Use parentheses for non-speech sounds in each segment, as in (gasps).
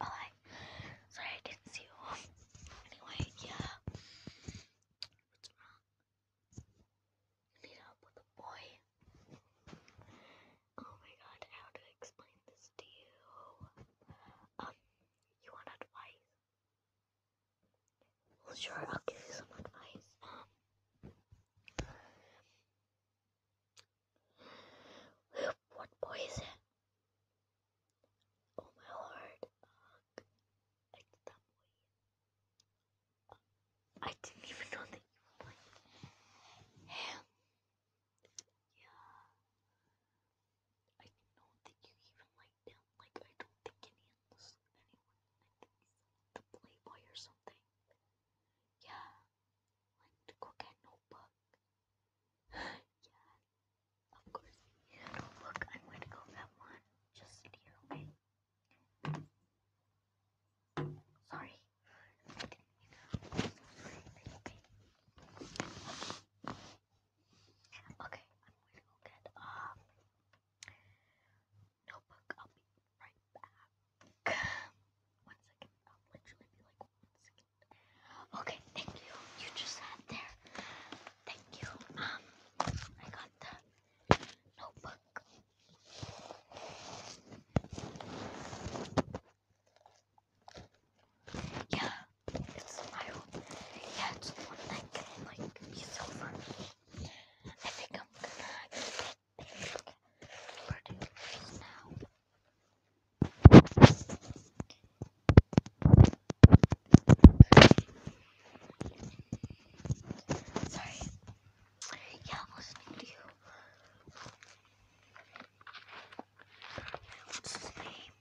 Oh, sorry, I didn't see you. Anyway, yeah. What's wrong? I need with a boy. Oh my god, how to explain this to you? Um, you want advice? Well, sure, I'll give you some advice. Um, what boy is it? Oh, my lord. Uh, it's that boy. I didn't even know that you like him. Yeah. I didn't know that you even liked him. Like, I don't think any the Playboy or something. Yeah, like the Crooked Notebook. (gasps) yeah, of course. notebook. I'm going to go with one. Just sit here, Sorry. okay. Okay, I'm going to go get um Notebook, I'll be right back. One second, I'll literally be like one second. Okay, thank you. You just sat there. Thank you. Um, I got the notebook. Yeah, I yeah, it's one that can like be silver. I think I'm gonna get it now. Sorry. Yeah, listening to you. What's his name?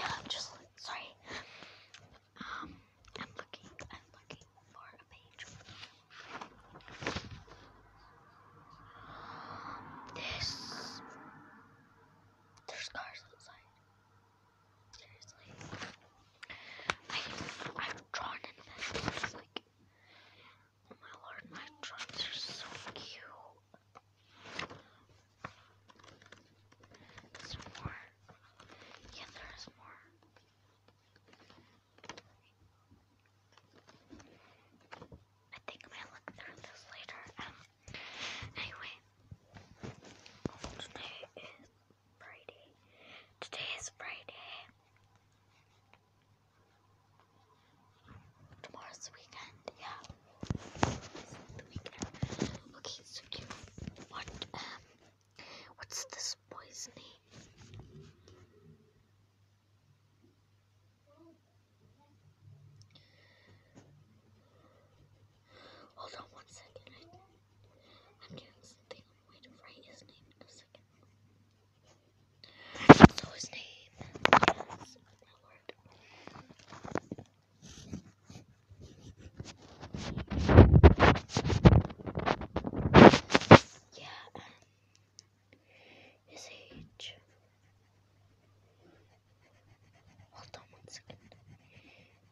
Yeah, I'm just sorry. Um, I'm looking. I'm looking for a page. this. There's cars outside. Seriously. I, I've drawn in this. Like, Oh my lord, my drums are so cute. Is more? Yeah, there is more. I think I might look through this later. Um, anyway, today is Friday. Today is Friday. Tomorrow's the weekend, yeah. The weekend. Okay, so you what um what's this boy's name? Hold on one second. I, am doing something Wait, Ray is named the second. So his name is Lord. Yeah, um, his age. Hold on one second.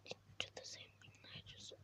They did the same thing I just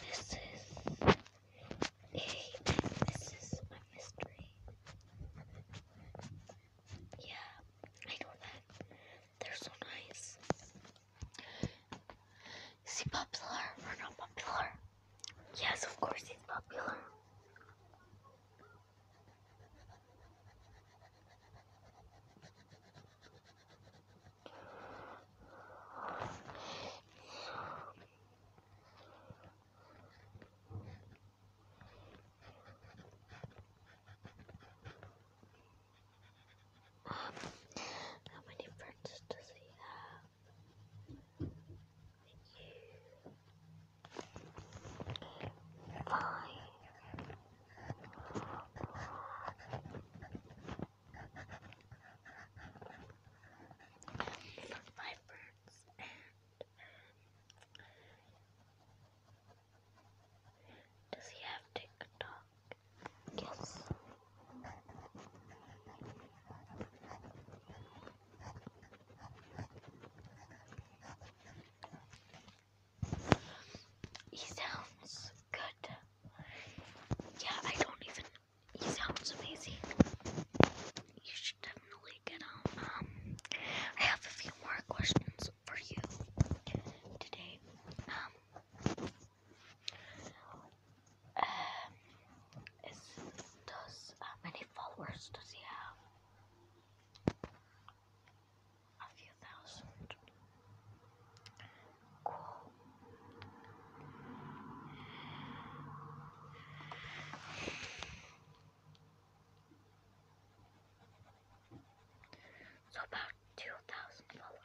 This is a mystery. Yeah, I know that. They're so nice. Is he popular or not popular? Yes, of course he's popular. How many friends does he have? Fine. Look, my and does he have TikTok? Yes. He sounds good. Yeah, I don't even. He sounds amazing. You should definitely get him. Um, I have a few more questions for you today. Um, uh, does how many followers does he have? A few thousand. Cool. So about two thousand followers.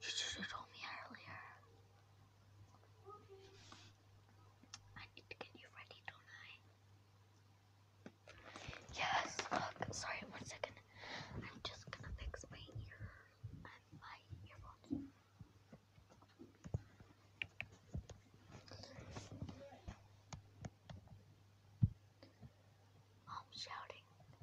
You should have told me earlier. I need to get you ready, don't I? Yes, look, sorry, one second. I'm just gonna fix my ear and my earphones. I'm shouting.